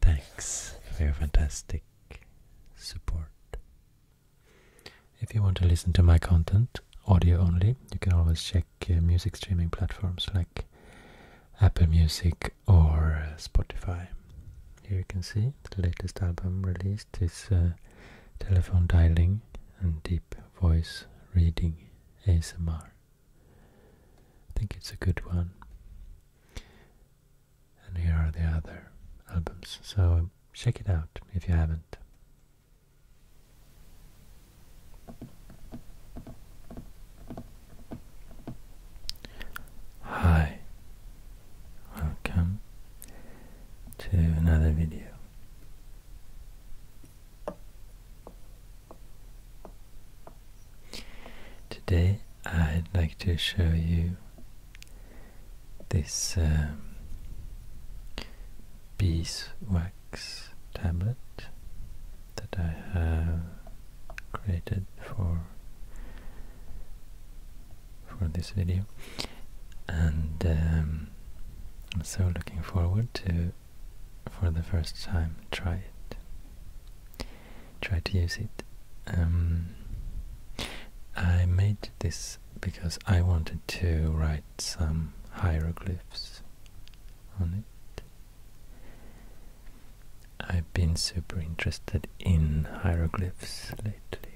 Thanks for your fantastic support. If you want to listen to my content, audio only, you can always check uh, music streaming platforms like Apple Music or uh, Spotify. Here you can see the latest album released is uh, Telephone Dialing and Deep Voice Reading ASMR. I think it's a good one. And here are the other albums, so um, check it out if you haven't. Hi, welcome to another video. Today I'd like to show you this um, beeswax tablet that I have created for for this video and um, I'm so looking forward to for the first time, try it. Try to use it. Um, I made this because I wanted to write some hieroglyphs on it. I've been super interested in hieroglyphs lately.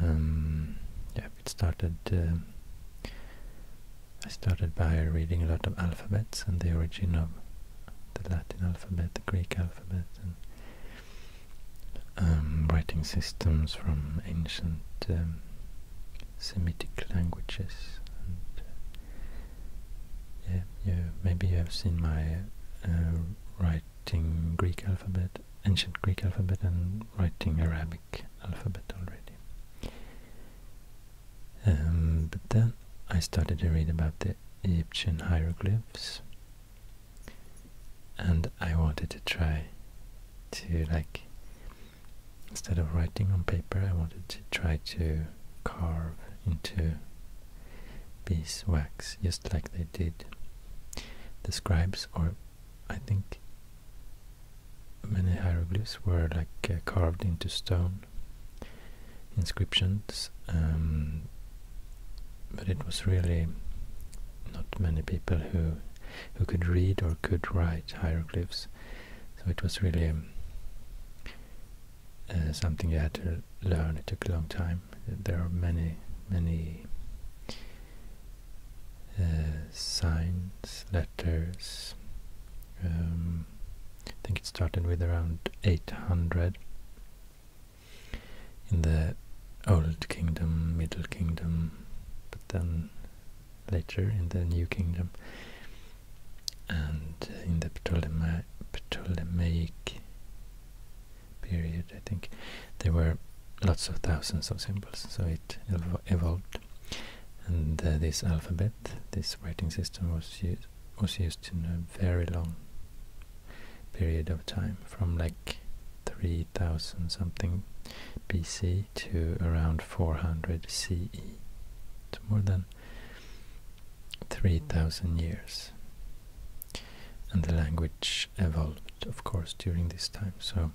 Um, yeah, it started. Uh, I started by reading a lot of alphabets and the origin of the Latin alphabet, the Greek alphabet, and um, writing systems from ancient um, Semitic languages. Uh, yeah, maybe you have seen my uh, writing Greek alphabet, ancient Greek alphabet and writing Arabic alphabet already. Um, but then I started to read about the Egyptian hieroglyphs and I wanted to try to like instead of writing on paper I wanted to try to carve into beeswax just like they did the scribes, or I think many hieroglyphs were like uh, carved into stone inscriptions, um, but it was really not many people who who could read or could write hieroglyphs. So it was really uh, something you had to learn. It took a long time. There are many, many uh, signs, letters. Um, I think it started with around 800 in the Old Kingdom, Middle Kingdom, but then later in the New Kingdom and in the Ptolema Ptolemaic period, I think, there were lots of thousands of symbols, so it evolved. And uh, this alphabet, this writing system, was used was used in a very long period of time, from like 3000 something BC to around 400 CE. It's more than 3000 years. And the language evolved, of course, during this time. So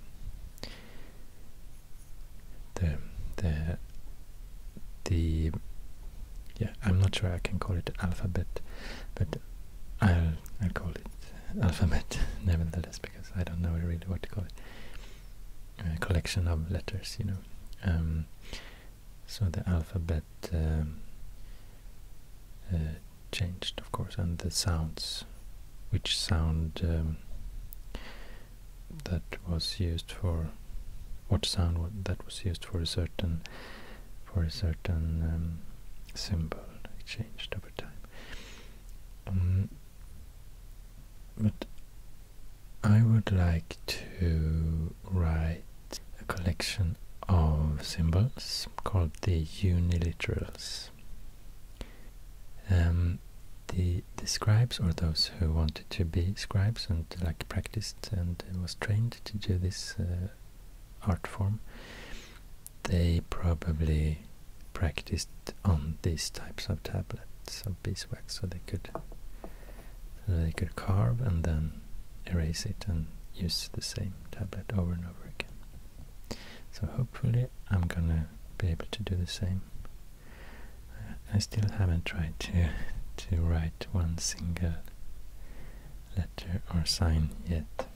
the the the yeah, I'm not sure I can call it alphabet, but I'll I'll call it alphabet nevertheless because I don't know really what to call it. A collection of letters, you know. Um, so the alphabet um, uh, changed, of course, and the sounds, which sound um, that was used for, what sound that was used for a certain, for a certain um, symbol, changed over time. Um, but I would like to write a collection of symbols called the Uniliteral um, the, scribes, or those who wanted to be scribes and like practiced and was trained to do this uh, art form, they probably practiced on these types of tablets of beeswax, so they could so they could carve and then erase it and use the same tablet over and over again. So hopefully I'm gonna be able to do the same. I still haven't tried to to write one single letter or sign yet.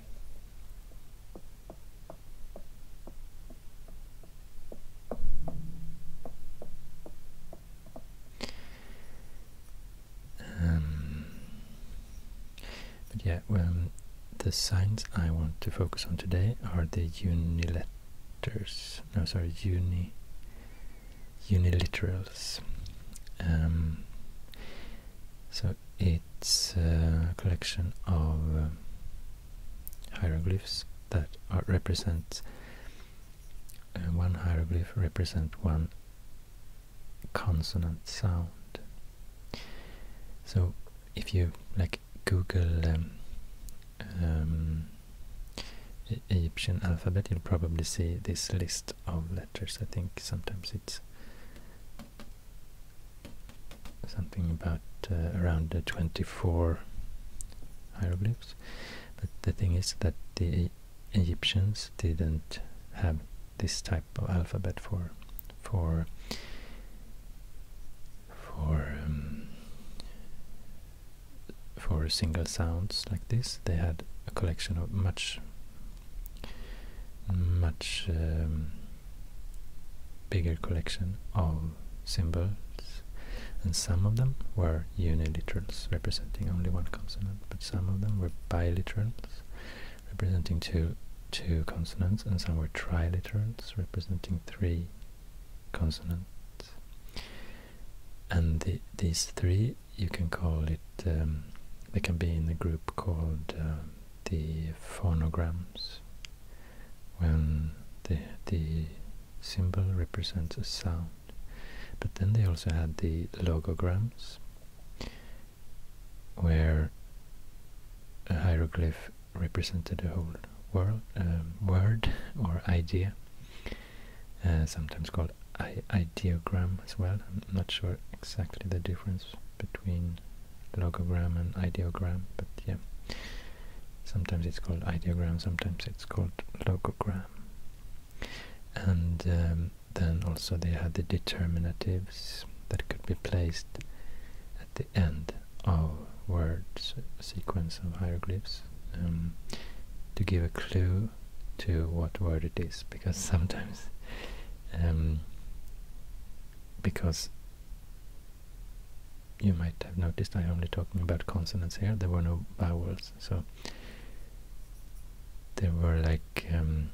Um, but yeah, um, the signs I want to focus on today are the uniletters. No, sorry, uni uniliterals. Um, so it's a collection of uh, hieroglyphs that are, represent uh, one hieroglyph represent one consonant sound. So if you like Google um, um, Egyptian alphabet, you'll probably see this list of letters. I think sometimes it's something about uh, around uh, 24 hieroglyphs. But the thing is that the Egyptians didn't have this type of alphabet for for for um, for single sounds like this. They had a collection of much much um, bigger collection of symbols and some of them were uniliterals representing only one consonant but some of them were biliterals representing two, two consonants, and some were triliterals, representing three consonants. And these three, you can call it, um, they can be in a group called um, the phonograms, when the, the symbol represents a sound. But then they also had the logograms, where a hieroglyph represented a whole world, word or idea, uh, sometimes called ideogram as well. I'm not sure exactly the difference between logogram and ideogram, but yeah, sometimes it's called ideogram, sometimes it's called logogram. And um, then also they had the determinatives that could be placed at the end of words sequence of hieroglyphs um, to give a clue to what word it is because sometimes um, because you might have noticed I'm only talking about consonants here there were no vowels so there were like um,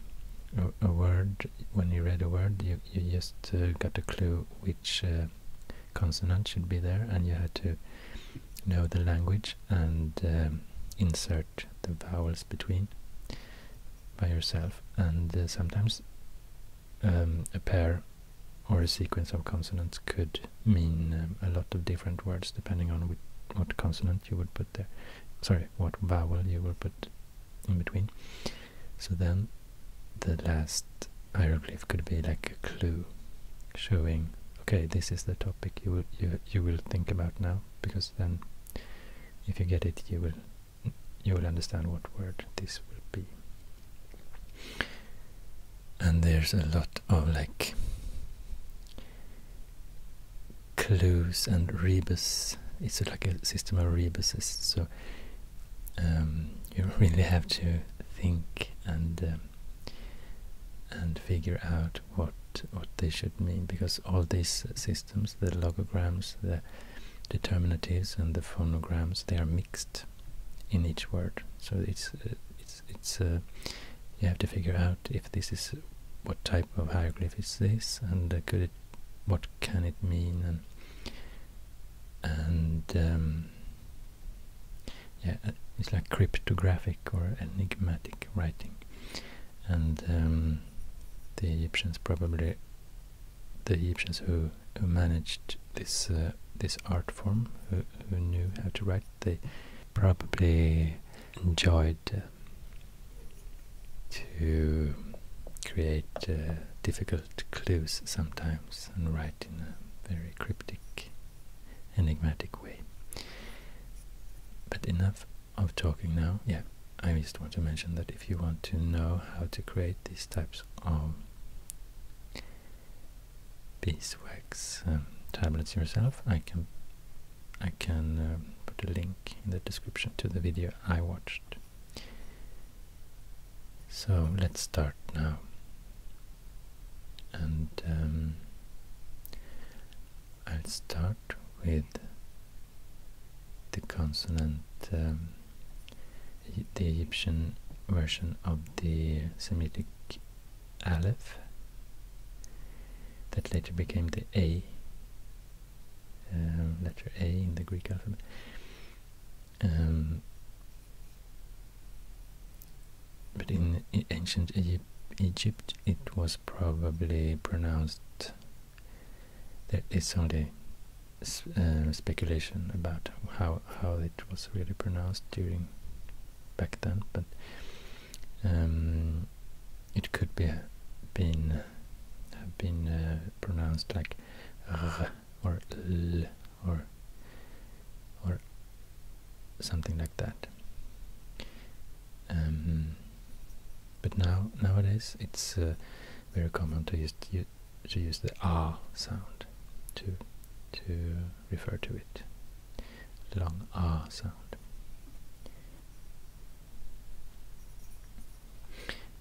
a word when you read a word, you, you just uh, got a clue which uh, consonant should be there, and you had to know the language and um, insert the vowels between by yourself. And uh, sometimes um, a pair or a sequence of consonants could mean um, a lot of different words depending on what consonant you would put there. Sorry, what vowel you will put in between. So then the last hieroglyph could be like a clue showing okay this is the topic you will you, you will think about now because then if you get it you will you will understand what word this will be and there's a lot of like clues and rebus it's like a system of rebuses so um, you really have to think and um, and figure out what what they should mean because all these systems, the logograms, the determinatives, and the phonograms, they are mixed in each word. So it's uh, it's it's uh, you have to figure out if this is what type of hieroglyph is this and uh, what can it mean and um, yeah, it's like cryptographic or enigmatic writing, and um, the Egyptians probably the Egyptians who who managed this uh, this art form, who, knew how to write, they probably enjoyed uh, to create uh, difficult clues sometimes and write in a very cryptic, enigmatic way. But enough of talking now. Yeah, I just want to mention that if you want to know how to create these types of beeswax um, tablets yourself, I can I can um, put a link in the description to the video I watched so let's start now. And um, I'll start with the consonant, um, the Egyptian version of the Semitic Aleph that later became the A, uh, letter A in the Greek alphabet. Um, but in ancient Egypt, it was probably pronounced. There is only uh, speculation about how how it was really pronounced during back then, but um, it could be been have been uh, pronounced like. Uh, or l or or something like that. Um, but now nowadays it's uh, very common to use to use the ah sound to to refer to it. Long ah sound.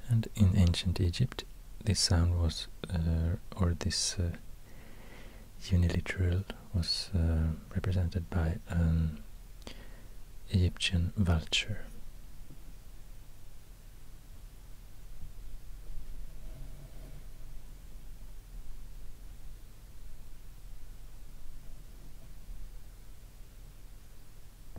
And in ancient Egypt, this sound was, uh, or this uh, uniliteral, was uh, represented by an Egyptian vulture.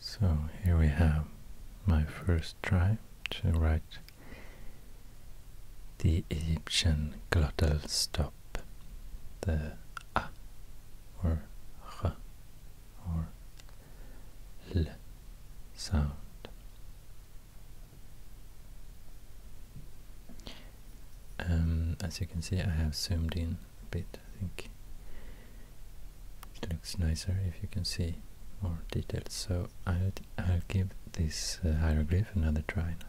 So here we have my first try to write the Egyptian glottal stop, the ah, or r or l sound. Um, as you can see I have zoomed in a bit, I think it looks nicer if you can see more details, so I'll, I'll give this uh, hieroglyph another try now.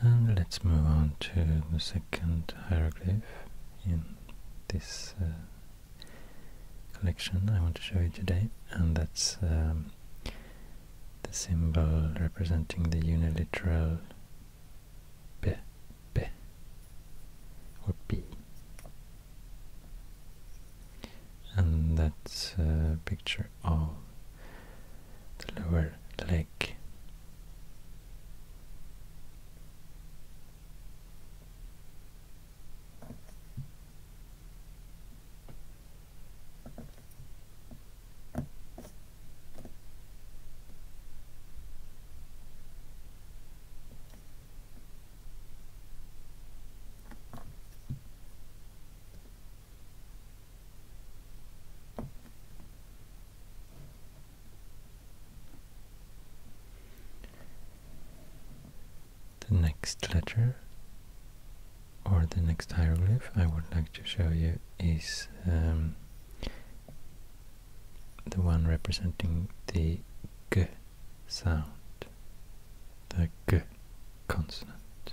And let's move on to the second hieroglyph in this uh, collection I want to show you today, and that's um, the symbol representing the uniliteral B, B, or B. And that's a picture of the lower leg. The next letter or the next hieroglyph I would like to show you is um, the one representing the g sound, the g consonant.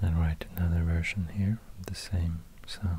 And i write another version here of the same sound.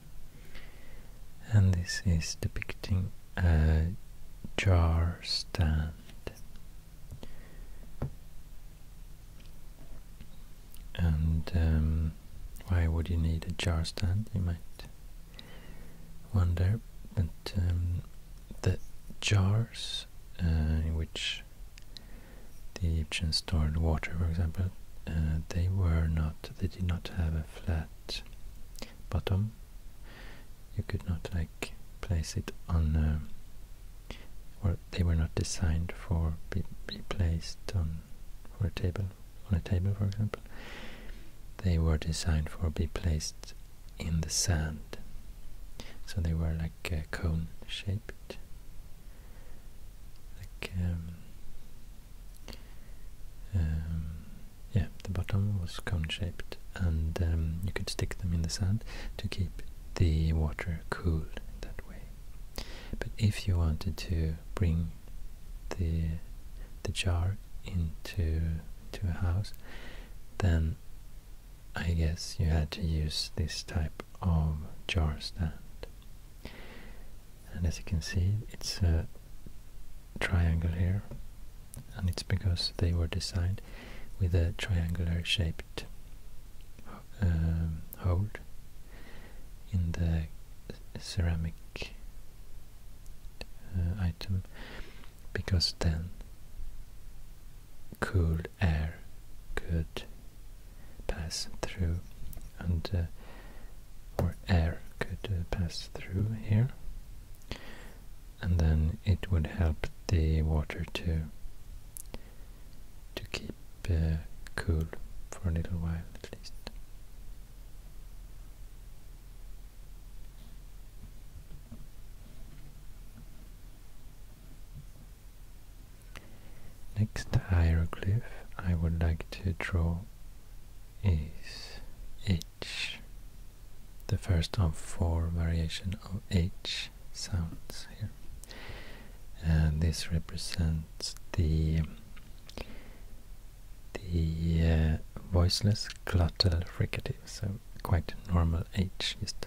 and this is depicting a jar stand. And um, why would you need a jar stand? You might wonder. But um, the jars uh, in which the Egyptians stored water, for example, uh, they were not. They did not have a flat bottom you could not like place it on uh, or they were not designed for be, be placed on for a table on a table for example they were designed for be placed in the sand so they were like cone shaped like um, um yeah, the bottom was cone-shaped and um, you could stick them in the sand to keep the water cool that way. But if you wanted to bring the the jar into to a house, then I guess you had to use this type of jar stand. And as you can see, it's a triangle here and it's because they were designed with a triangular shaped um, hold in the ceramic uh, item because then cool air could pass through and uh, or air could uh, pass through here and then it would help the water to to keep uh, cool for a little while at least. Next hieroglyph I would like to draw is a the first of four variation of H sounds here. And this represents the the uh, voiceless glottal fricative, so quite normal H, just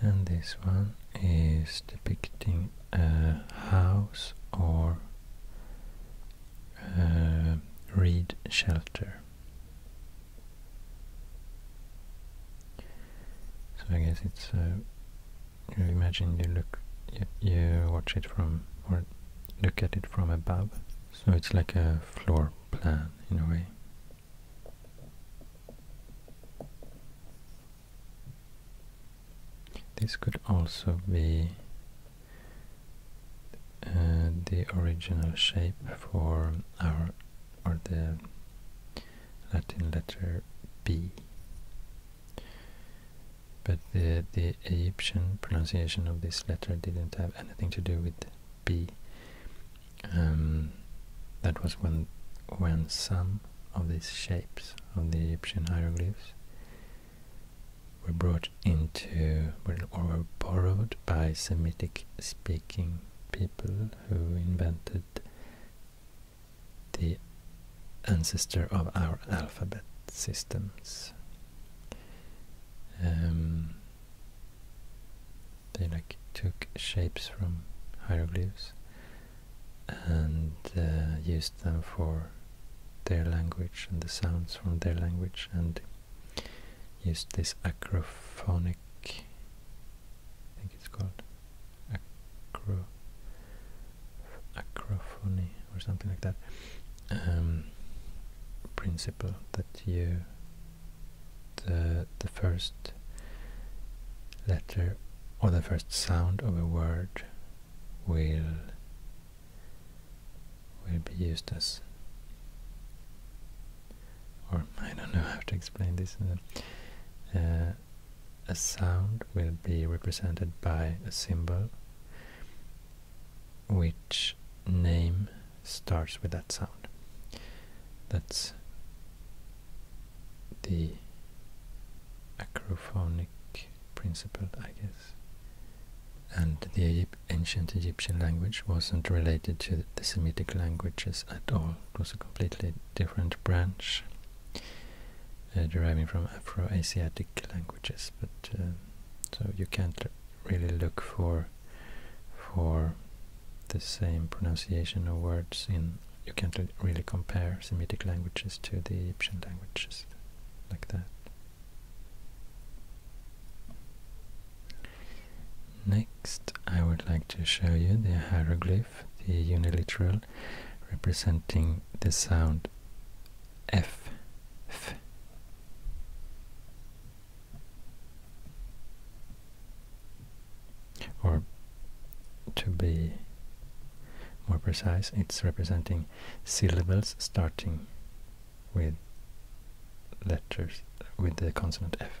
And this one is depicting a house or a reed shelter. So I guess it's uh, you imagine you look you, watch it from or look at it from above. So it's like a floor plan in a way. This could also be uh, the original shape for our or the Latin letter B. But the, the Egyptian pronunciation of this letter didn't have anything to do with B. Um, that was when, when some of these shapes of the Egyptian hieroglyphs were brought into or were borrowed by Semitic speaking people who invented the ancestor of our alphabet systems. Um, they like took shapes from hieroglyphs and uh, used them for their language and the sounds from their language and used this acrophonic I think it's called acro acrophony or something like that um, principle that you the the first letter or the first sound of a word will will be used as or I don't know how to explain this uh, a sound will be represented by a symbol which name starts with that sound. That's the acrophonic principle, I guess. And the ancient Egyptian language wasn't related to the Semitic languages at all. It was a completely different branch uh, deriving from Afro-Asiatic languages, but uh, so you can't really look for for the same pronunciation of words in. You can't really compare Semitic languages to the Egyptian languages like that. Next, I would like to show you the hieroglyphs the uniliteral, representing the sound F. F. Or to be more precise, it's representing syllables starting with letters with the consonant F.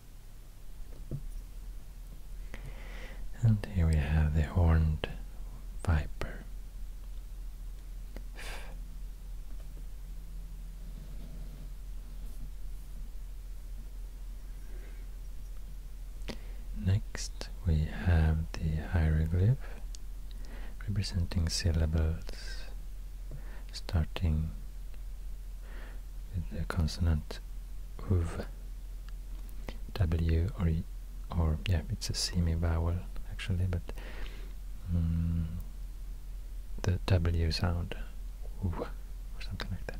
And here we have the horned viper. Next we have the hieroglyph representing syllables starting the consonant uv, w or or yeah, it's a semi-vowel actually, but mm, the w sound, or something like that.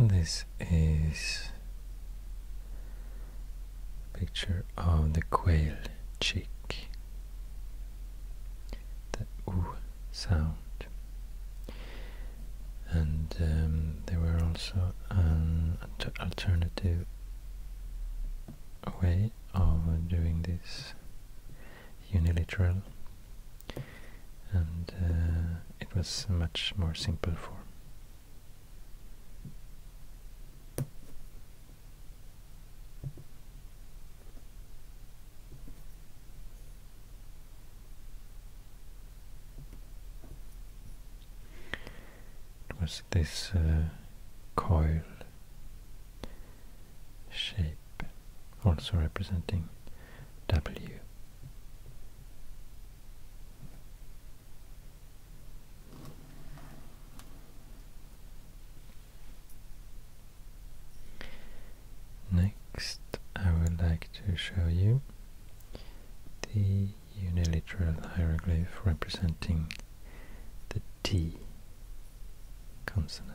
And this is a picture of the quail chick, the oo sound. And um, there were also an alternative way of doing this unilateral and uh, it was much more simple form. It was this uh, coil shape, also representing W. Next, I would like to show you the uniliteral hieroglyph representing the T consonant.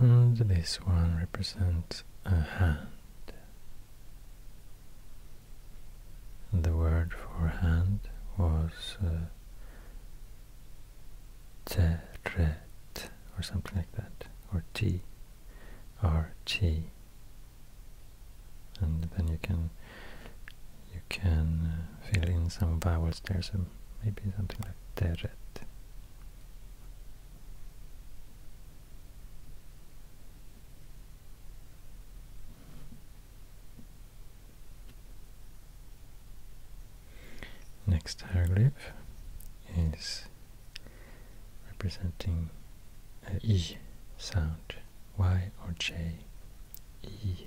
And this one represents a hand. the word for hand was uh, tret or something like that, or t, or chi. And then you can you can uh, fill in some vowels there, so maybe something like teret. Next hieroglyph is representing a E sound, Y or J, E.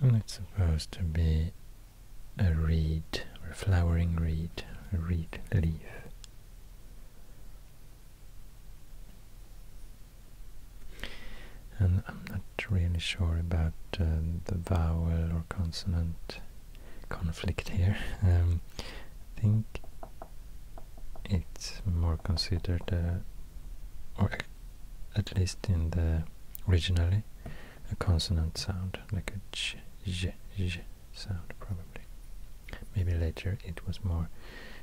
And it's supposed to be a reed, or a flowering reed, a reed leaf. And I'm not really sure about uh, the vowel or consonant conflict here. Um, I think it's more considered, uh, or at least in the originally, a consonant sound, like a ch, j, j sound probably. Maybe later it was more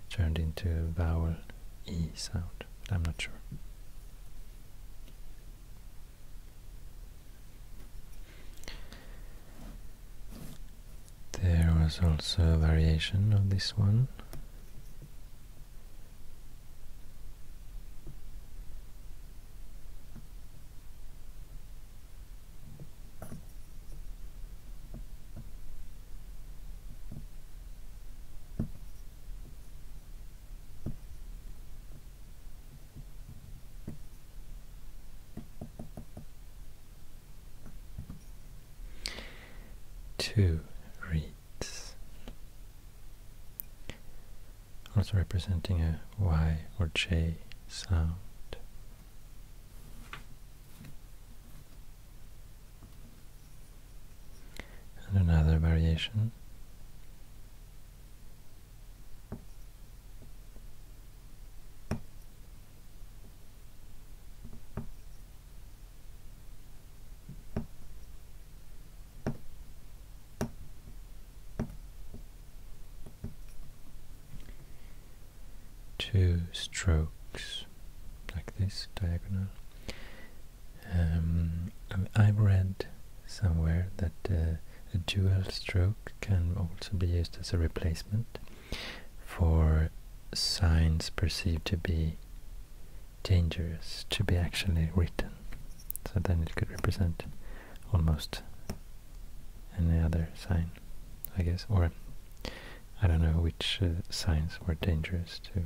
turned into a vowel e sound, I'm not sure. There was also a variation of this one. Two reeds, also representing a Y or J sound. And another variation two strokes like this diagonal um, um, I've read somewhere that uh, a dual stroke can also be used as a replacement for signs perceived to be dangerous to be actually written. So then it could represent almost any other sign, I guess. Or I don't know which uh, signs were dangerous to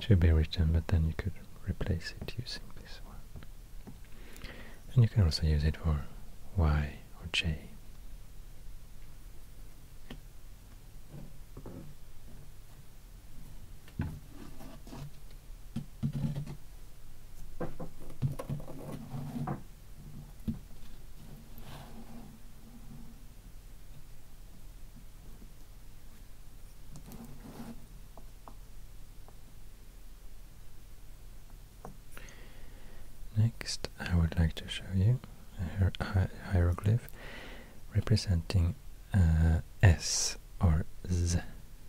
to be written, but then you could replace it using this one. And you can also use it for Y or J. Next, I would like to show you hieroglyph, representing uh, S or Z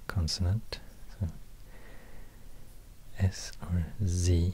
consonant. So S or Z.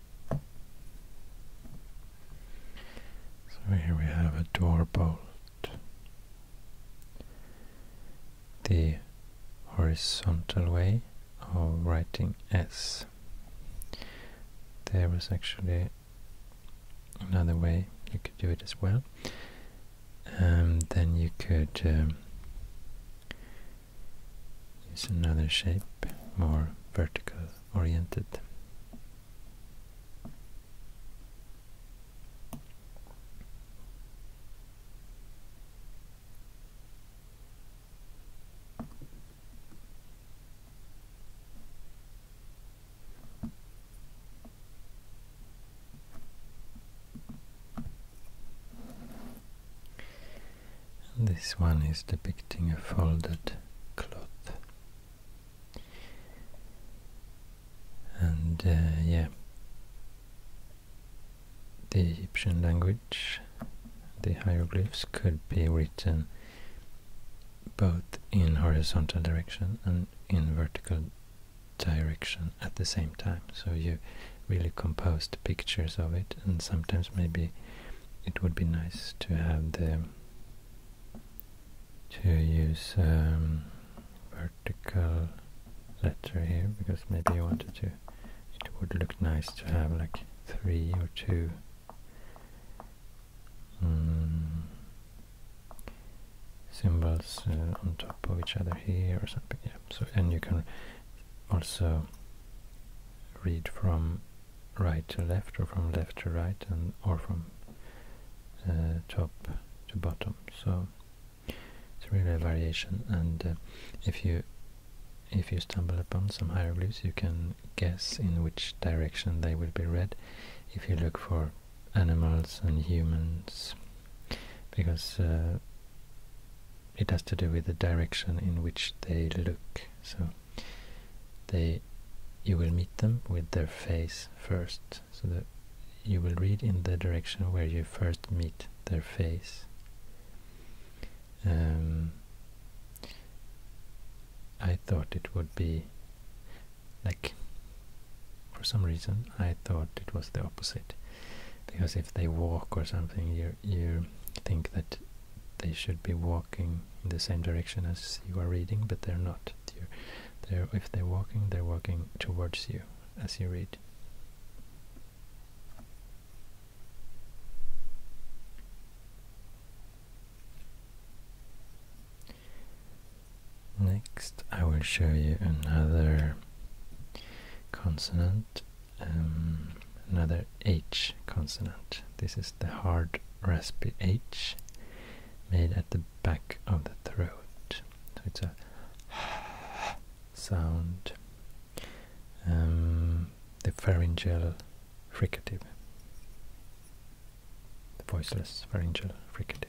So here we have a door bolt. The horizontal way of writing S. There is actually another way you could do it as well. Um, then you could um, use another shape, more vertical oriented. And this one is depicting a folded cloth. And uh, yeah, the Egyptian language, the hieroglyphs could be written both in horizontal direction and in vertical direction at the same time. So you really composed pictures of it and sometimes maybe it would be nice to have the to use um, vertical letter here because maybe you wanted to it would look nice to have like three or two mm. symbols uh, on top of each other here or something yeah so and you can also read from right to left or from left to right and or from uh, top to bottom so it's really a variation and uh, if you if you stumble upon some hieroglyphs you can guess in which direction they will be read if you look for animals and humans because uh, it has to do with the direction in which they look so they you will meet them with their face first. So the, you will read in the direction where you first meet their face. Um, I thought it would be like for some reason I thought it was the opposite because if they walk or something you you think that they should be walking in the same direction as you are reading, but they're not. they if they're walking, they're walking towards you as you read. Next, I will show you another consonant, um, another H consonant. This is the hard raspy H made at the back of the throat. So it's a sound. Um, the pharyngeal fricative. The voiceless pharyngeal fricative.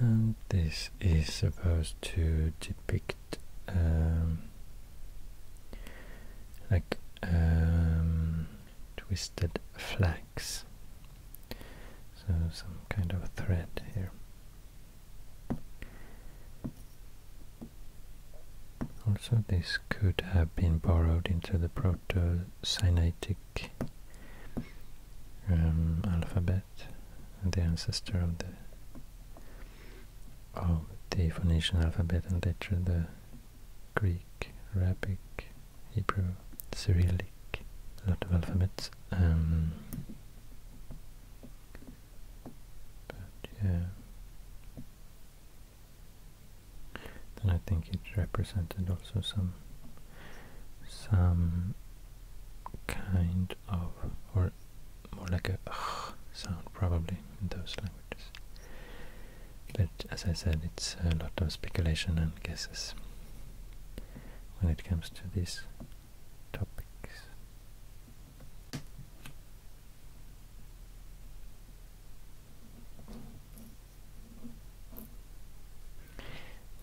And this is supposed to depict um, like um, twisted flax, so some kind of thread here. Also, this could have been borrowed into the Proto-Sinaitic Greek alphabet, the ancestor of the of the Phoenician alphabet, and later the Greek, Arabic, Hebrew, Cyrillic, a lot of alphabets. Ehm, but yeah then I think it represented also some some kind of or more like a ugh sound probably in those languages. But as I said, it's a lot of speculation and guesses when it comes to these topics.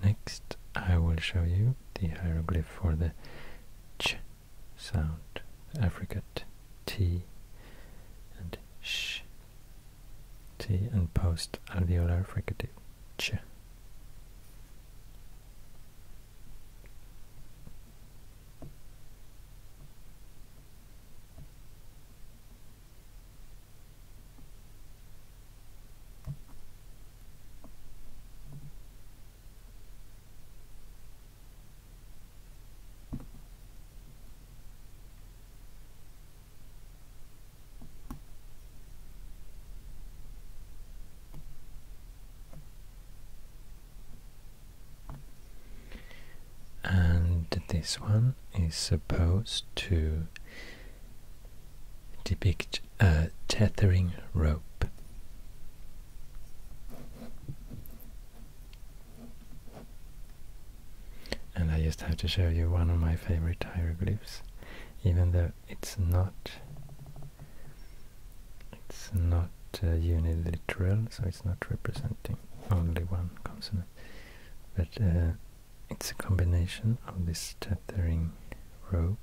Next, I will show you the hieroglyph for the ch sound, affricate t and sh, t and post alveolar fricative ch. And this one is supposed to depict a tethering rope. And I just have to show you one of my favorite hieroglyphs, even though it's not it's not uh, uniliteral, so it's not representing only one consonant. But uh, it's a combination of this tethering rope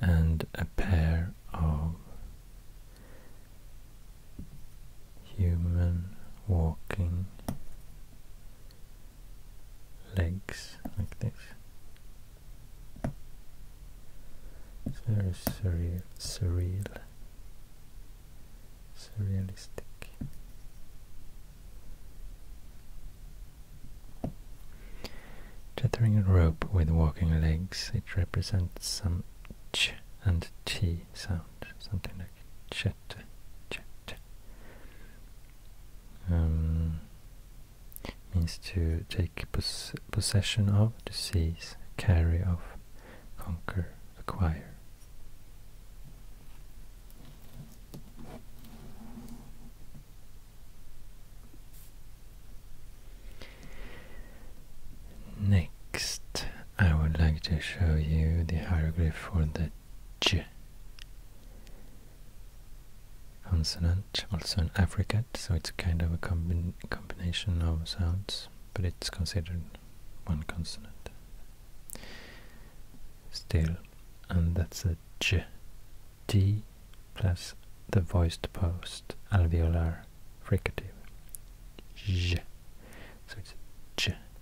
and a pair of human walking legs like this. It's very surreal, surreal, surrealistic. Tethering a rope with walking legs, it represents some ch and t sound, something like chat, chat. Um, means to take possession of, to seize, carry off, conquer, acquire. Next, I would like to show you the hieroglyph for the consonant, also an affricate, so it's kind of a combination of sounds, but it's considered one consonant still, and that's a j, d plus the voiced post alveolar fricative, j, so it's j.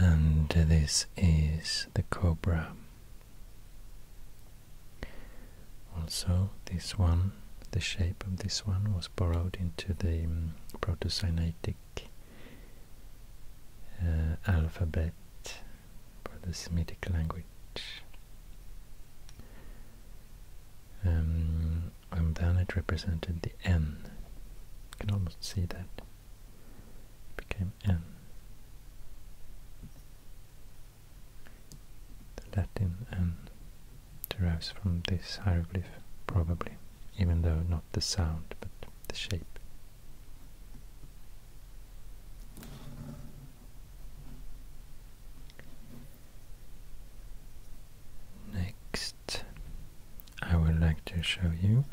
And this is the cobra. Also, this one, the shape of this one was borrowed into the um, Proto-Sinaitic uh, alphabet for the Semitic language. and then it represented the N. You can almost see that. It became N. The Latin N derives from this hieroglyph, probably, even though not the sound, but the shape. Next, I would like to show you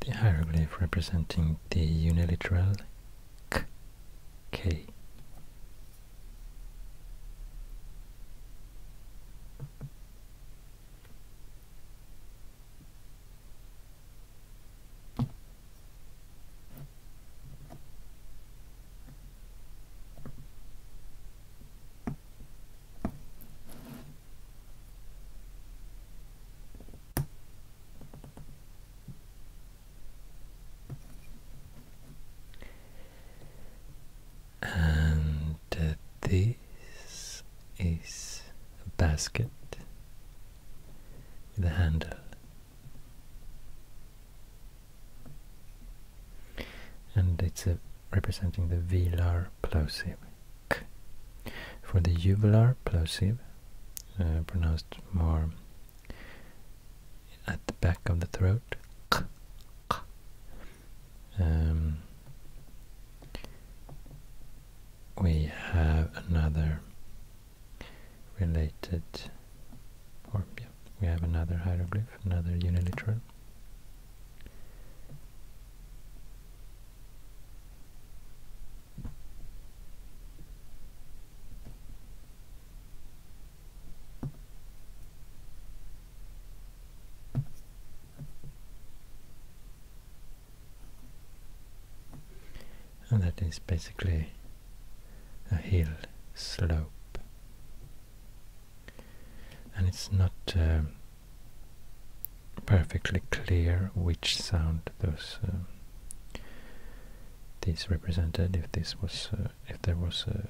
the hieroglyph representing the uniliteral k. k. And uh, this is a basket with a handle and it's uh, representing the velar plosive For the uvular plosive, uh, pronounced more at the back of the throat, um, we have another related, or yeah, we have another hieroglyph, another uniliteral and that is basically a hill slope and it's not um, perfectly clear which sound those uh, these represented if this was uh, if there was a,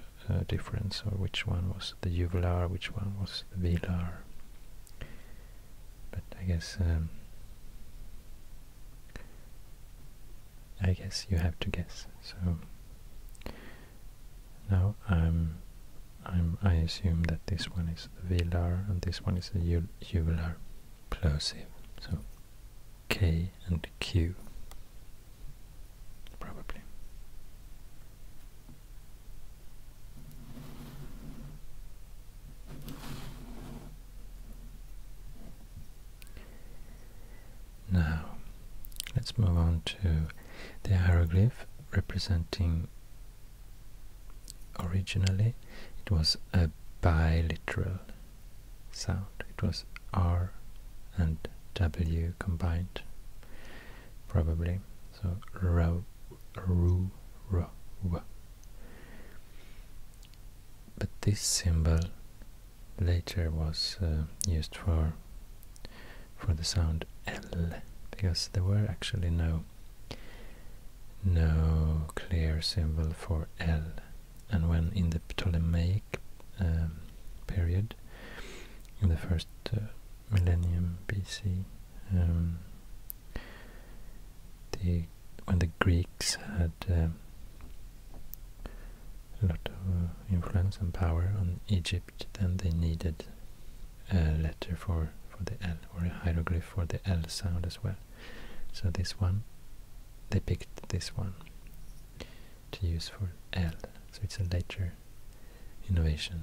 difference or which one was the uvular which one was the velar but I guess um, I guess you have to guess. So now I'm, i assume that this one is the velar and this one is the uvular plosive. So K and Q probably. Now, let's move on to the hieroglyph representing originally it was a biliteral sound. It was R and W combined, probably. So ro, ru, ro, w but this symbol later was uh, used for for the sound L because there were actually no no clear symbol for L and when in the Ptolemaic um, period in the first uh, millennium BC um, the when the Greeks had um, a lot of uh, influence and power on Egypt, then they needed a letter for for the L or a hieroglyph for the L sound as well. So this one, they picked this one to use for L. So it's a later innovation.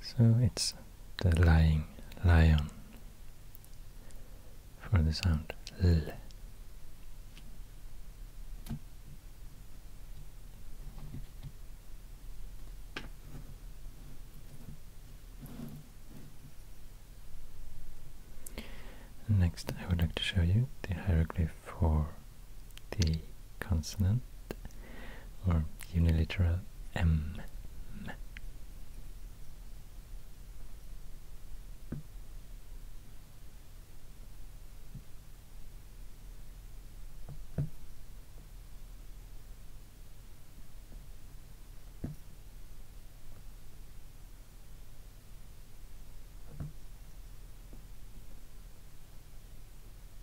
So it's the lying lion for the sound L. Next I would like to show you the hieroglyph for the consonant or unilateral M.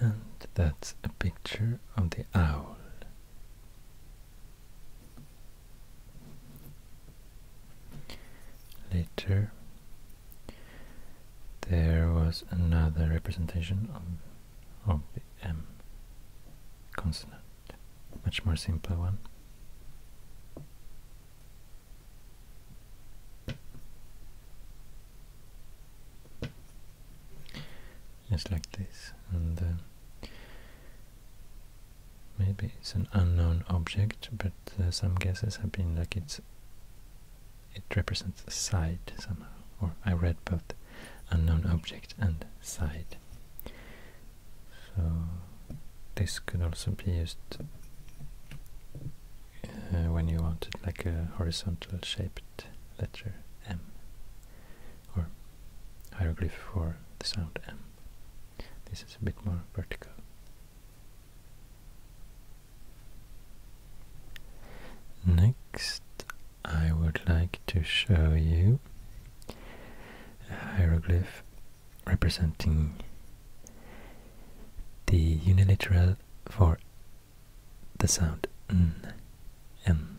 And that's a picture of the owl. Later, there was another representation of, the M consonant, much more simple one. Just like this, and Maybe it's an unknown object, but uh, some guesses have been like it's it represents a side somehow. Or I read both unknown object and side. So this could also be used uh, when you wanted like a horizontal shaped letter M or hieroglyph for the sound M. This is a bit more vertical. Next, I would like to show you a hieroglyph representing the unilateral for the sound n. n.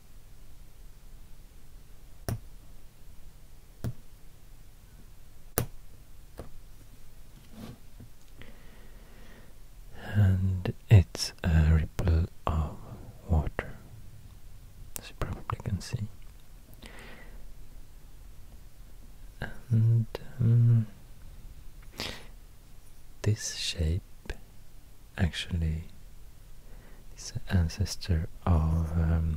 And it's a ripple of water, as you probably can see. And um, this shape actually is an ancestor of um,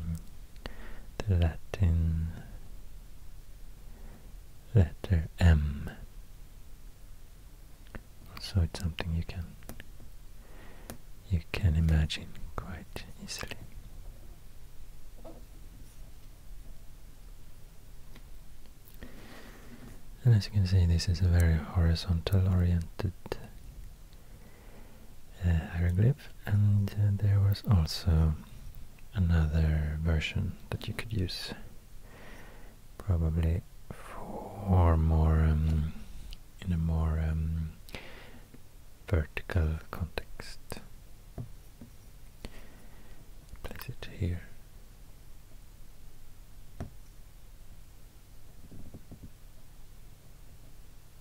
the Latin letter M. So it's something you can you can imagine quite easily. And as you can see, this is a very horizontal oriented uh, hieroglyph and uh, there was also another version that you could use probably for more um, in a more um, vertical context place it here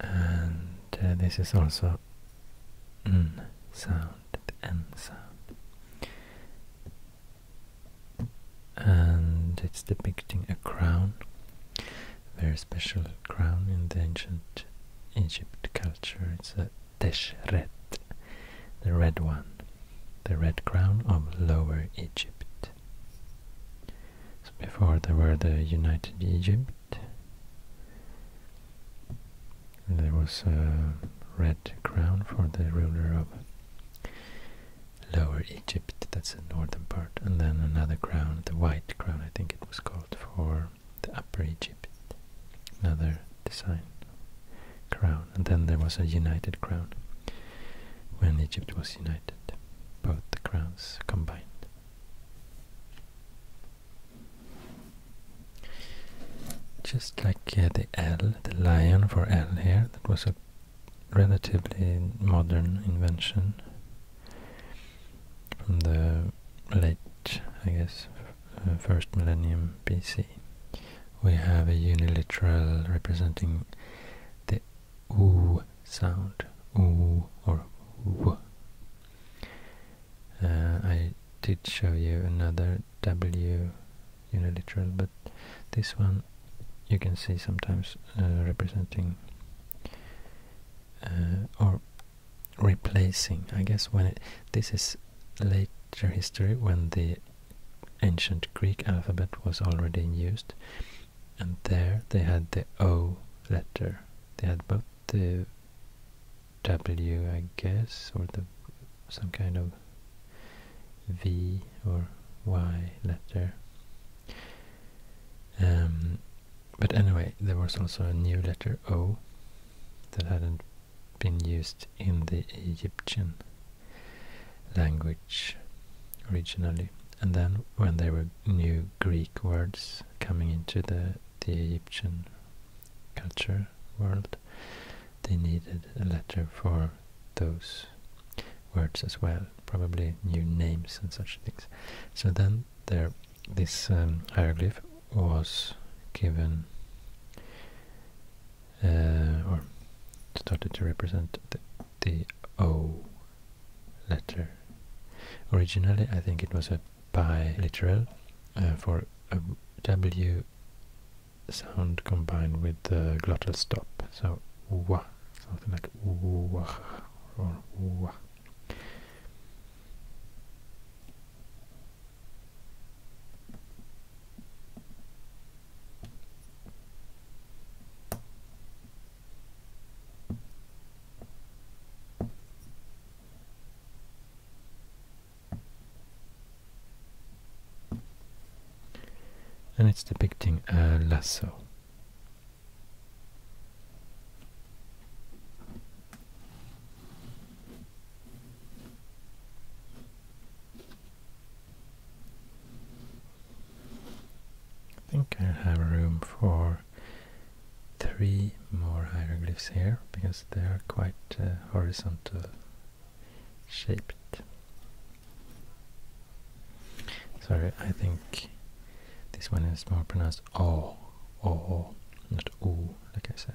and uh, this is also sound, and sound, and it's depicting a crown, very special crown in the ancient Egypt culture. It's a Teshret, the red one, the red crown of Lower Egypt. before there were the United Egypt, there was a red crown for the ruler of Lower Egypt, that's the northern part, and then another crown, the white crown I think it was called, for the Upper Egypt, another design crown, and then there was a united crown when Egypt was united, both the crowns combined. Just like uh, the L, the lion for L here, that was a relatively modern invention from the late, I guess, uh, first millennium BC. We have a uniliteral representing the oo sound, oo or w. Uh, I did show you another w uniliteral, but this one you can see sometimes uh, representing or replacing. I guess when this is later history when the ancient Greek alphabet was already in use, and there they had the O letter. They had both the W, I guess, or the some kind of V or Y letter. Um, but anyway, there was also a new letter O that hadn't been used in the Egyptian language originally. And then when there were new Greek words coming into the, the Egyptian culture world, they needed a letter for those words as well, probably new names and such things. So then this um, hieroglyph was given uh, or started to represent the, O letter. Originally, I think it was a biliteral uh, for a W sound combined with the glottal stop. So something like or and it's depicting a lasso. I think I have room for three more hieroglyphs here because they are quite uh, horizontal shaped. Sorry, I think this one is more pronounced Oh, oh, not O, like I said.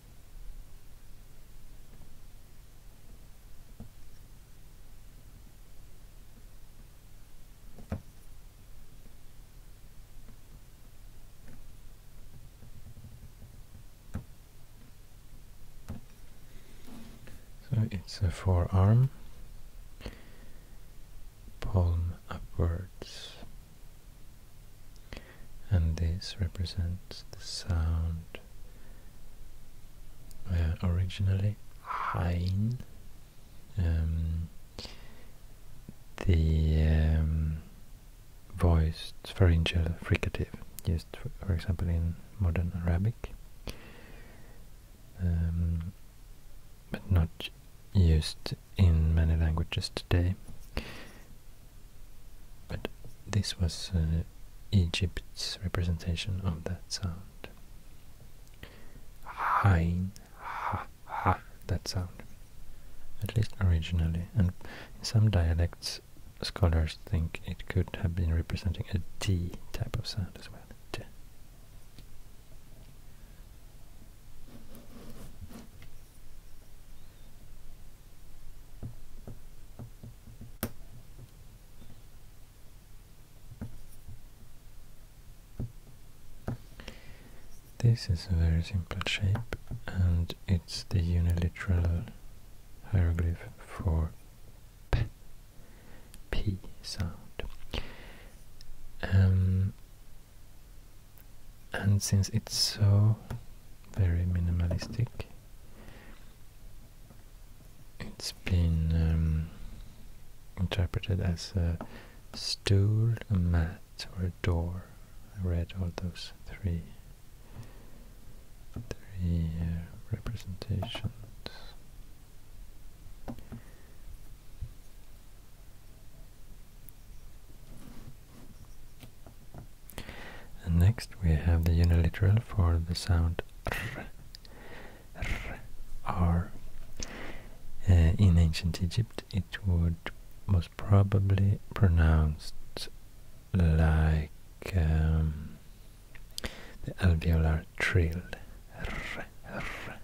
So it's a forearm, palm upwards and this represents the sound uh, originally Hein um, the um, voiced pharyngeal fricative used for, example in modern Arabic um, but not used in many languages today but this was uh, Egypt's representation of that sound. Hain, ha, ha, that sound. At least originally, and in some dialects, scholars think it could have been representing a D type of sound as well. This is a very simple shape and it's the uniliteral hieroglyph for p, p sound. Um, and since it's so very minimalistic it's been um, interpreted as a stool, a mat or a door. I read all those three three uh, representations. And next we have the uniliteral for the sound r, r, r. Uh, in ancient Egypt, it would most probably pronounced like um, the alveolar trill. R, r, r.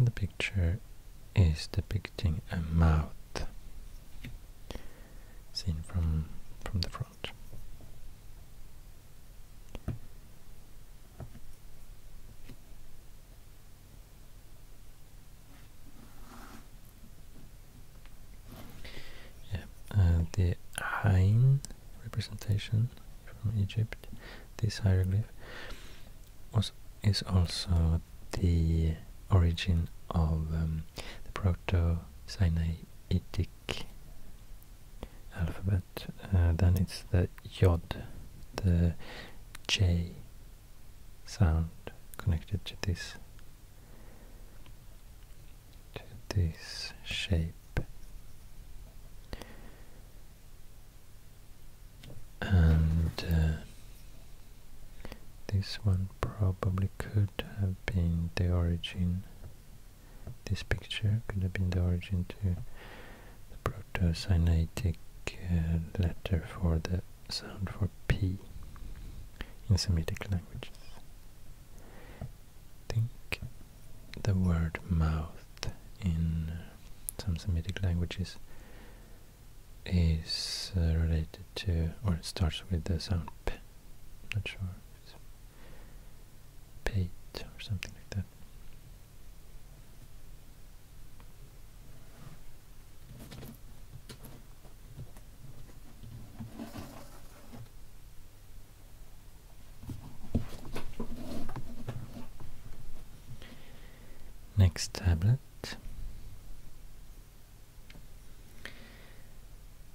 And the picture is depicting a mouth seen from from the uh, the Hain representation from Egypt, this hieroglyph, was is also the origin of um, the Proto-Sinaitic alphabet, uh, then it's the yod, the j sound connected to this to this shape. And uh, this one probably could have been the origin this picture could have been the origin to the Proto-Sinaitic uh, letter for the sound for P in Semitic languages. Think the word mouth in some Semitic languages is uh, related to, or starts with the sound P. Not sure Pate or something like that. Next tablet.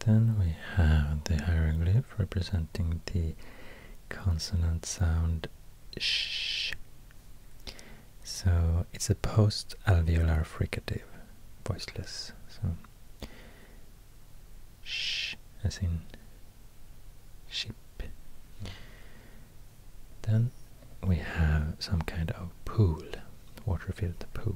Then we have the hieroglyph representing the consonant sound sh. So it's a post-alveolar fricative, voiceless. So sh, as in ship. Then we have some kind of pool, water-filled pool.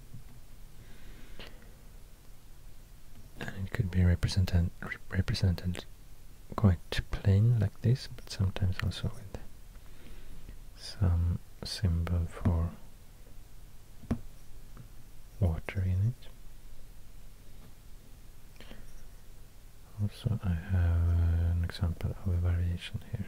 and it could be represented represented quite plain like this but sometimes also with some symbol for water in it also I have an example of a variation here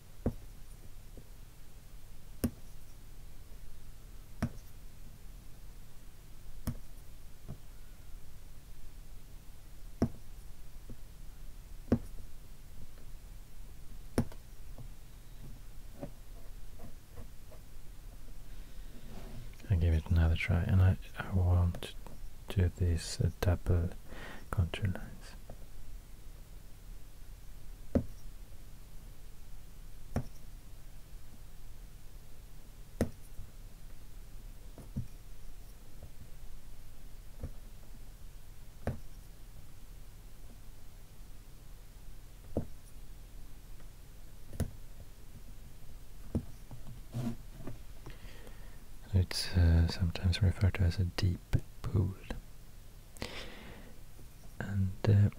I give it another try and I, I want to do these uh, double contour lines it's uh, sometimes referred to as a deep deep And uh,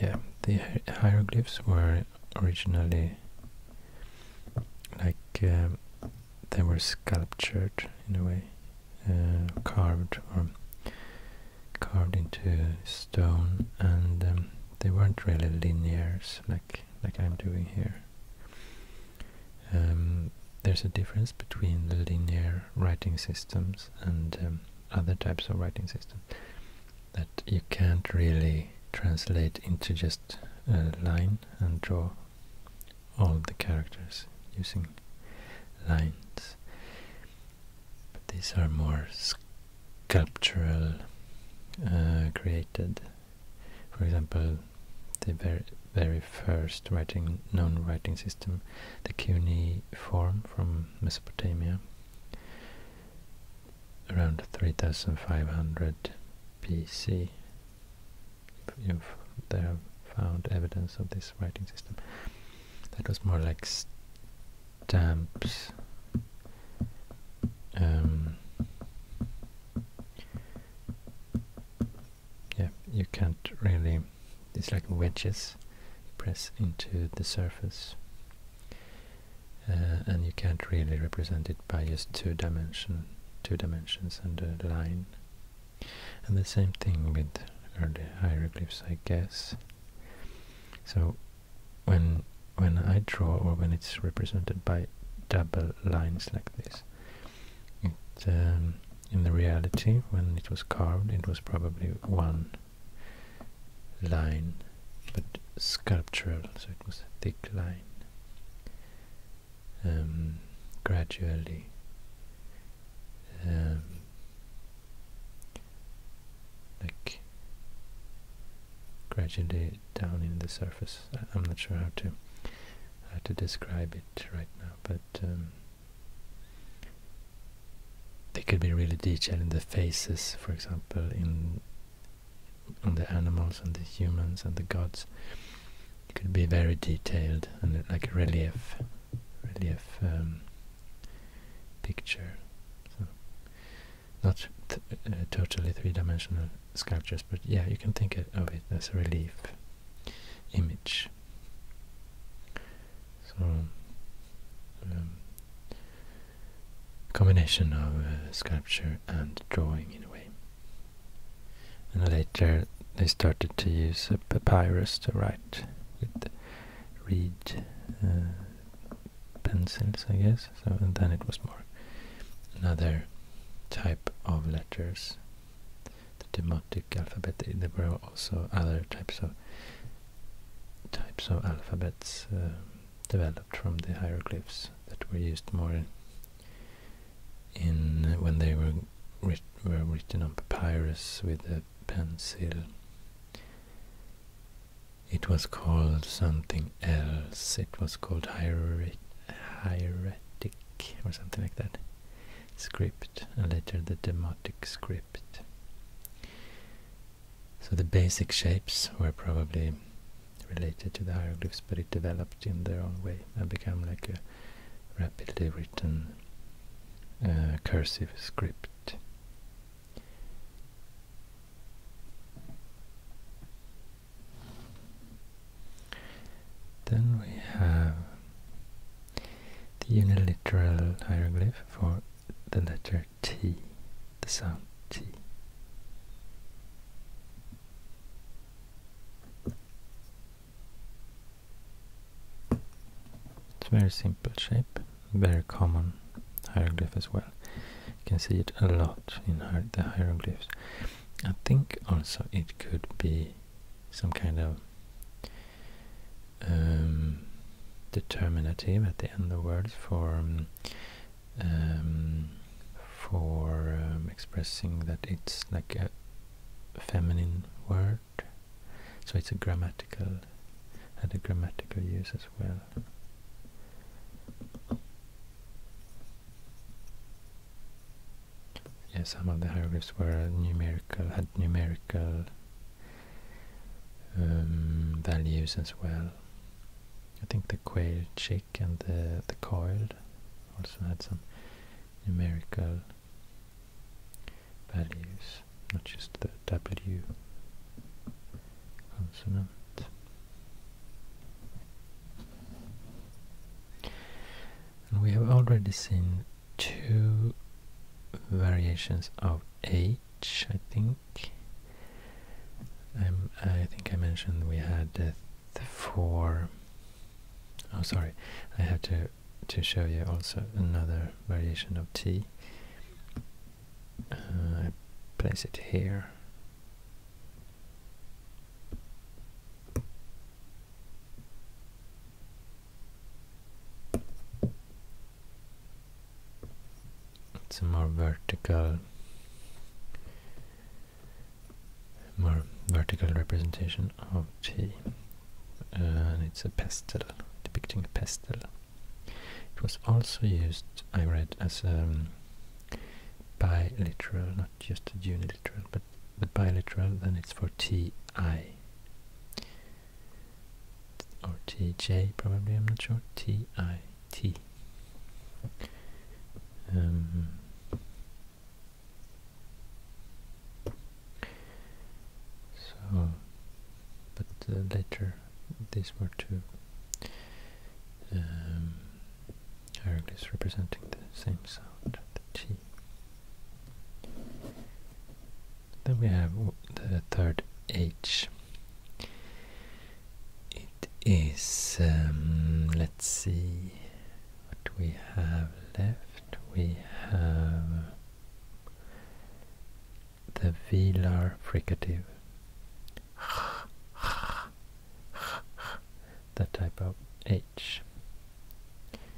yeah, the hieroglyphs were originally like um, they were sculptured in a way, uh, carved or carved into stone, and um, they weren't really linear, like like I'm doing here. Um, there's a difference between the linear writing systems and um, other types of writing systems that you can't really translate into just a line and draw all the characters using lines. these are more sculptural uh, created. For example, the very very first writing known writing system the cuneiform from Mesopotamia around 3500 BC. You've, they have found evidence of this writing system. That was more like stamps. Um, yeah, you can't really, it's like wedges press into the surface. Uh, and you can't really represent it by just two dimension, two dimensions and a line. And the same thing with early hieroglyphs, I guess. So when when I draw or when it's represented by double lines like this, um, in the reality, when it was carved, it was probably one line, but sculptural, so it was a thick line. Um, gradually um, like gradually down in the surface. I, am not sure how to to describe it right now, but they could be really detailed in the faces, for example, in the animals and the humans and the gods. It could be very detailed and like a relief, relief um, picture. not uh, totally three-dimensional sculptures, but yeah, you can think of it as a relief image. So, um, combination of uh, sculpture and drawing in a way. And later they started to use a papyrus to write with reed uh, pencils, I guess. So and then it was more another type of letters the demotic alphabet. There were also other types of types of alphabets um, developed from the hieroglyphs that were used more in, when they were were written on papyrus with a pencil. It was called something else. It was called hieratic or something like that. Script and later the demotic script. So the basic shapes were probably related to the hieroglyphs, but it developed in their own way and became like a rapidly written uh, cursive script. Then we have the uniliteral hieroglyph for the letter T, the sound T. It's a very simple shape, very common hieroglyph as well. You can see it a lot in the hieroglyphs. I think also it could be some kind of um, determinative at the end of the word for um, um, for expressing that it's like a feminine word so it's a grammatical had a grammatical use as well yeah some of the hieroglyphs were numerical had numerical um, values as well. I think the quail chick and the, the coiled also had some numerical values, not just the W consonant. And we have already seen two variations of H, I think. Um, I think I mentioned we had the four. Oh, sorry, I have to to show you also another variation of T. Uh, I place it here it's a more vertical more vertical representation of T and it's a pastel depicting a pastel it was also used I read as a um, biliteral not just a uniliteral but the biliteral then it's for T I or TJ probably, I'm not sure, TIT. Um, so, but uh, later these were two um, hieroglyphs representing the same sound, the T. Then we have the third H. It is, um, let's see what we have left. We have the velar fricative. the type of H.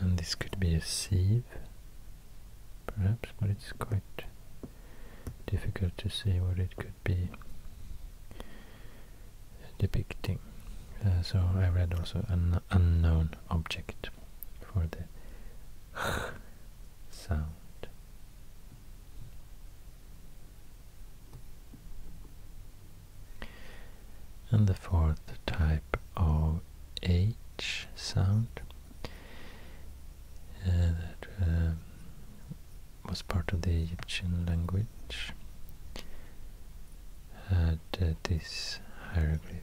and this could be a sieve perhaps but it's quite difficult to see what it could be depicting uh, so I read also an unknown object for the sound and the fourth type of H sound uh, that um, was part of the Egyptian language had uh, this hieroglyph.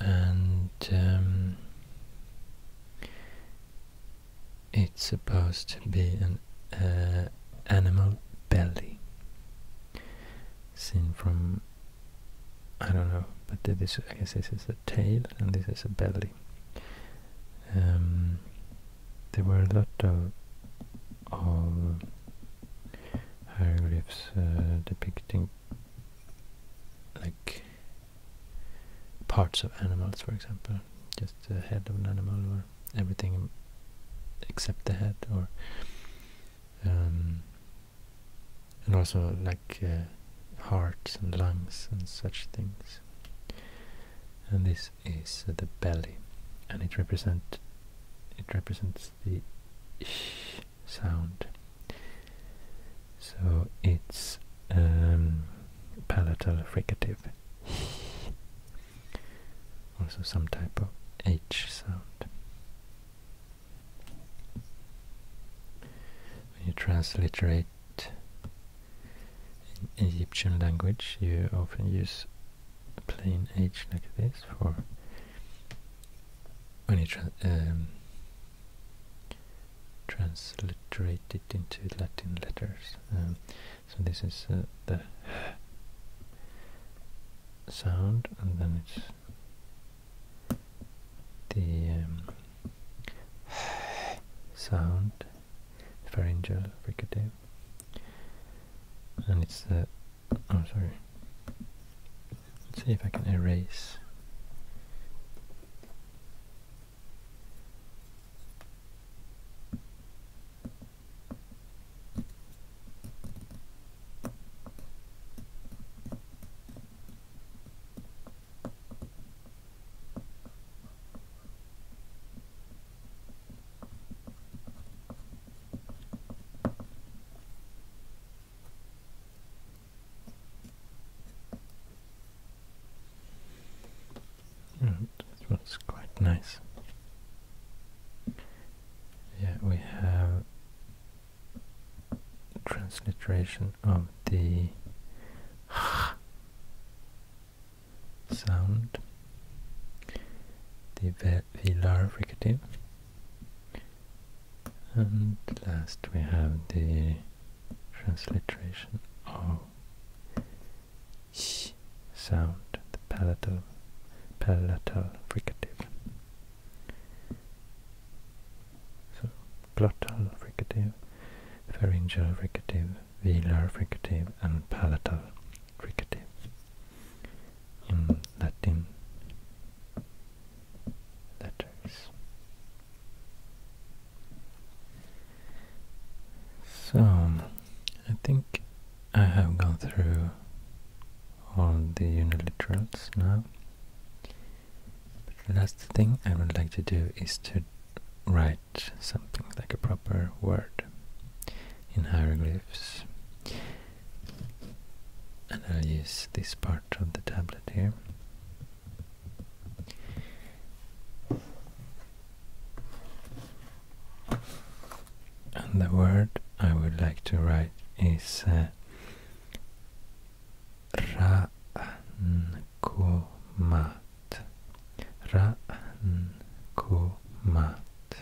and um, it's supposed to be an uh, animal belly seen from I don't know, but this I guess this is a tail and this is a belly. Um, there were a lot of hieroglyphs uh, depicting like parts of animals, for example, just the head of an animal or everything except the head, or um, and also like uh, hearts and lungs and such things. And this is the belly, and it represent it represents the sound. So it's um, palatal fricative. also some type of H sound. When you transliterate in Egyptian language, you often use plain H like this for when you tra transliterate it um, into Latin letters. Um, so this is uh, the sound, and then it's the um, sound, pharyngeal fricative, and it's the oh sorry, Let's see if I can erase. Right, this quite nice. Yeah, we have transliteration of the sound, the velar fricative, and last we have the transliteration of sh sound, the palatal, palatal fricative. So glottal fricative, pharyngeal fricative, velar fricative, and palatal fricative in Latin letters. So, I think I have gone through all the uniliterals now. the last thing I would like to do is to write something like a proper word in hieroglyphs and I'll use this part of the tablet here. And the word I would like to write is uh, Ra-n-ko-mat. Ra-n-ko-mat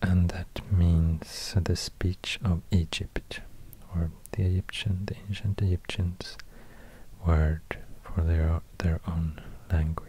and that means the speech of Egypt, or the Egyptian, the ancient Egyptians' word for their their own language.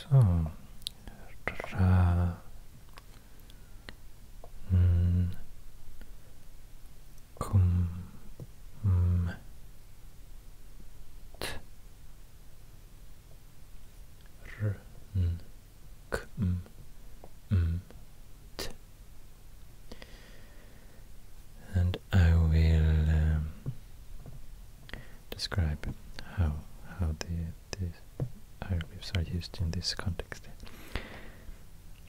So, tra N mm, mm, mm, and I will um, describe how how the these hieroglyphs are used in this context.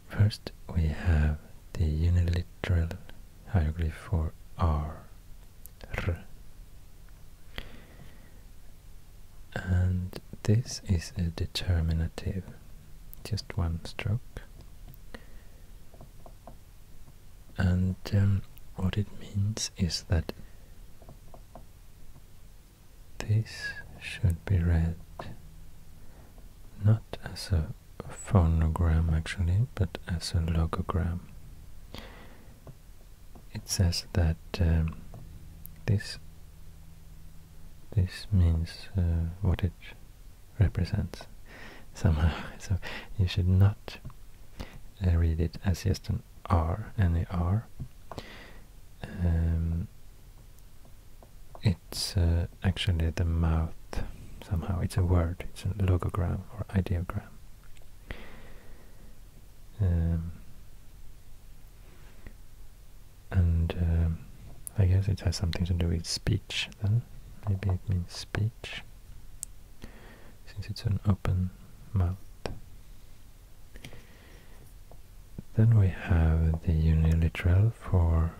First, we have the uniliteral hieroglyph for R, R. And this is a determinative, just one stroke. And um, what it means is that this should be read not as a phonogram actually, but as a logogram. It says that um, this this means uh, what it represents somehow. So you should not uh, read it as just an R, and a R. Um, it's uh, actually the mouth somehow. It's a word, it's a logogram or ideogram. Um, and um, I guess it has something to do with speech then. Maybe it means speech, since it's an open mouth. Then we have the uniliteral for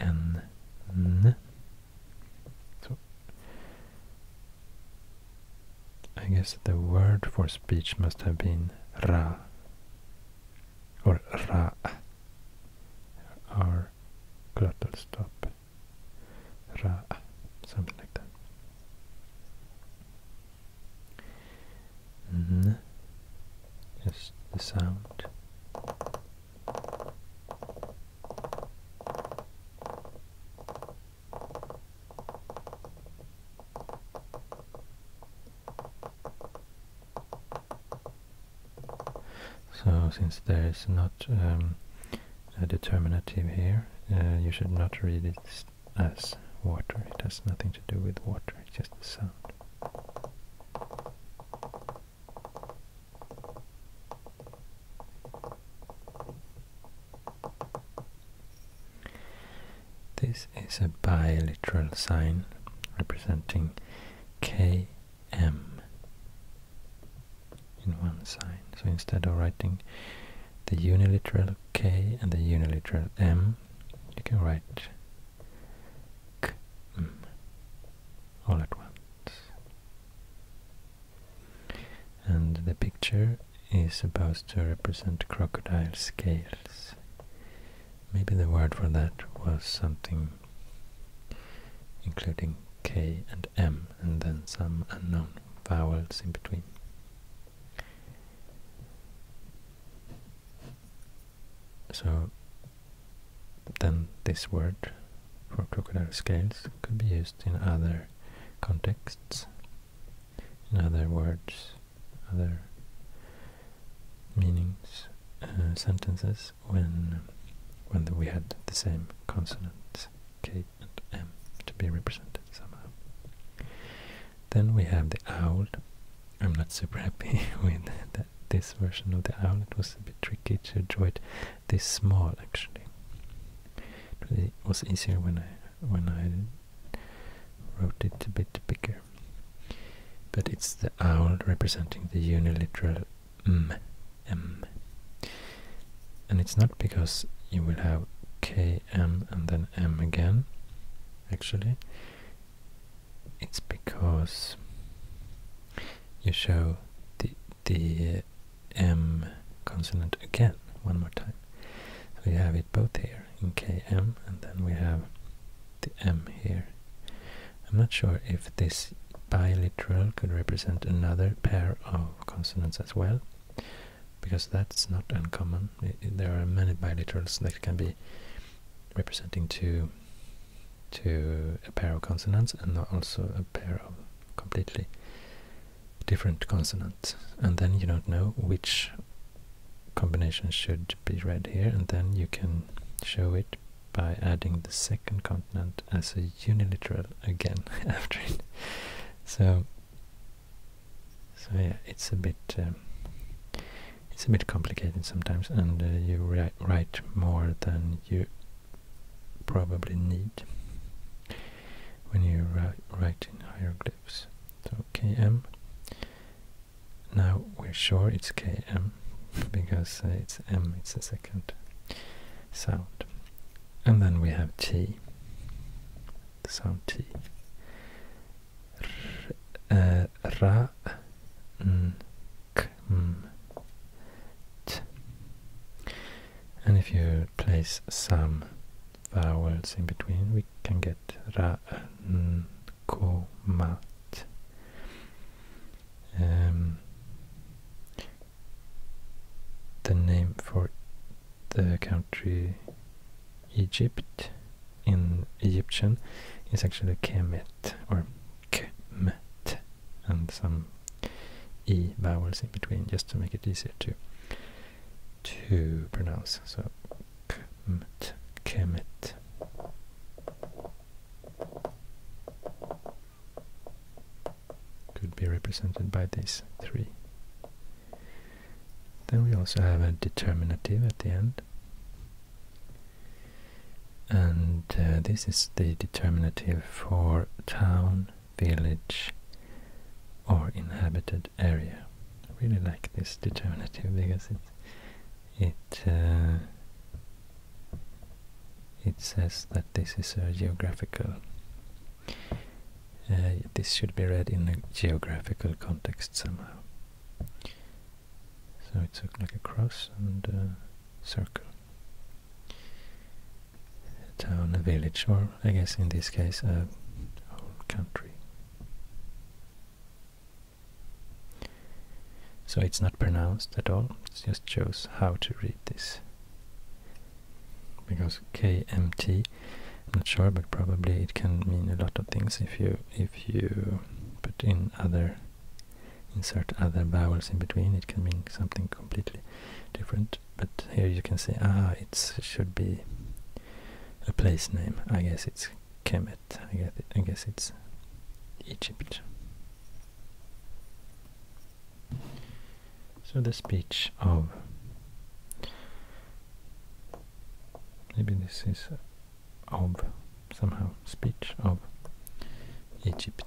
n, n. So I guess the word for speech must have been ra or ra. Our glottal stop, ra, something like that. Just mm-hmm. the sound. So since there is not um, a determinative here, uh, you should not read it as water. It has nothing to do with water, it's just the sound. This is a biliteral sign representing KM in one sign. So instead of writing the uniliteral K and the uniliteral M, you can write k m all at once. And the picture is supposed to represent crocodile scales. Maybe the word for that was something including K and M and then some unknown vowels in between. So then this word for crocodile scales could be used in other contexts, in other words, other meanings, uh, sentences when when we had the same consonants k and m to be represented somehow. Then we have the owl. I'm not super happy with that, this version of the owl. It was a bit tricky to draw it this small actually. It was easier when I when I wrote it a bit bigger. But it's the owl representing the uniliteral m, m. And it's not because you will have km and then m again, actually it's because you show the the uh, M consonant again one more time. We have it both here in KM and then we have the M here. I'm not sure if this biliteral could represent another pair of consonants as well because that's not uncommon. there are many biliterals that can be representing two to a pair of consonants and also a pair of completely different consonants and then you don't know which combination should be read here and then you can show it by adding the second consonant as a uniliteral again after it so so yeah, it's a bit um, it's a bit complicated sometimes, and uh, you write more than you probably need when you write in hieroglyphs. So km. Now we're sure it's km because uh, it's m. It's the second sound, and then we have t. Sound t ra, n, k, m, t. And if you place some vowels in between, we can get ra, n, um, the name for the country Egypt in Egyptian is actually Kemet or Kmet and some E vowels in between just to make it easier to to pronounce. So Kmet, Kemet. Could be represented by these three. Then we also have a determinative at the end. And uh, this is the determinative for town, village, or inhabited area. I really like this determinative because it it uh, says that this is a geographical. Uh, this should be read in a geographical context somehow. So it's like a cross and a circle. A town, a village, or I guess in this case a whole country. So it's not pronounced at all, it just shows how to read this. Because KMT, I'm not sure, but probably it can mean a lot of things if you if you put in other insert other vowels in between it can mean something completely different but here you can say ah it should be a place name I guess it's Kemet I guess, I guess it's Egypt so the speech of maybe this is of somehow speech of Egypt.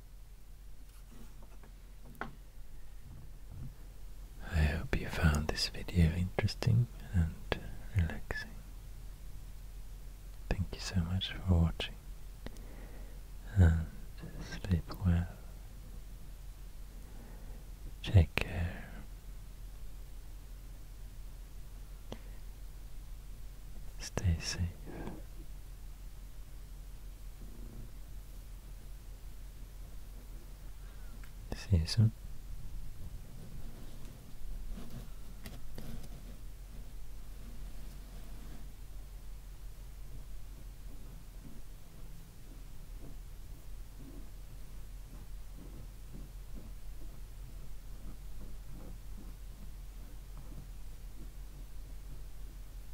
I hope you found this video interesting and relaxing. Thank you so much for watching and sleep well. Take care. Stay safe. See you soon.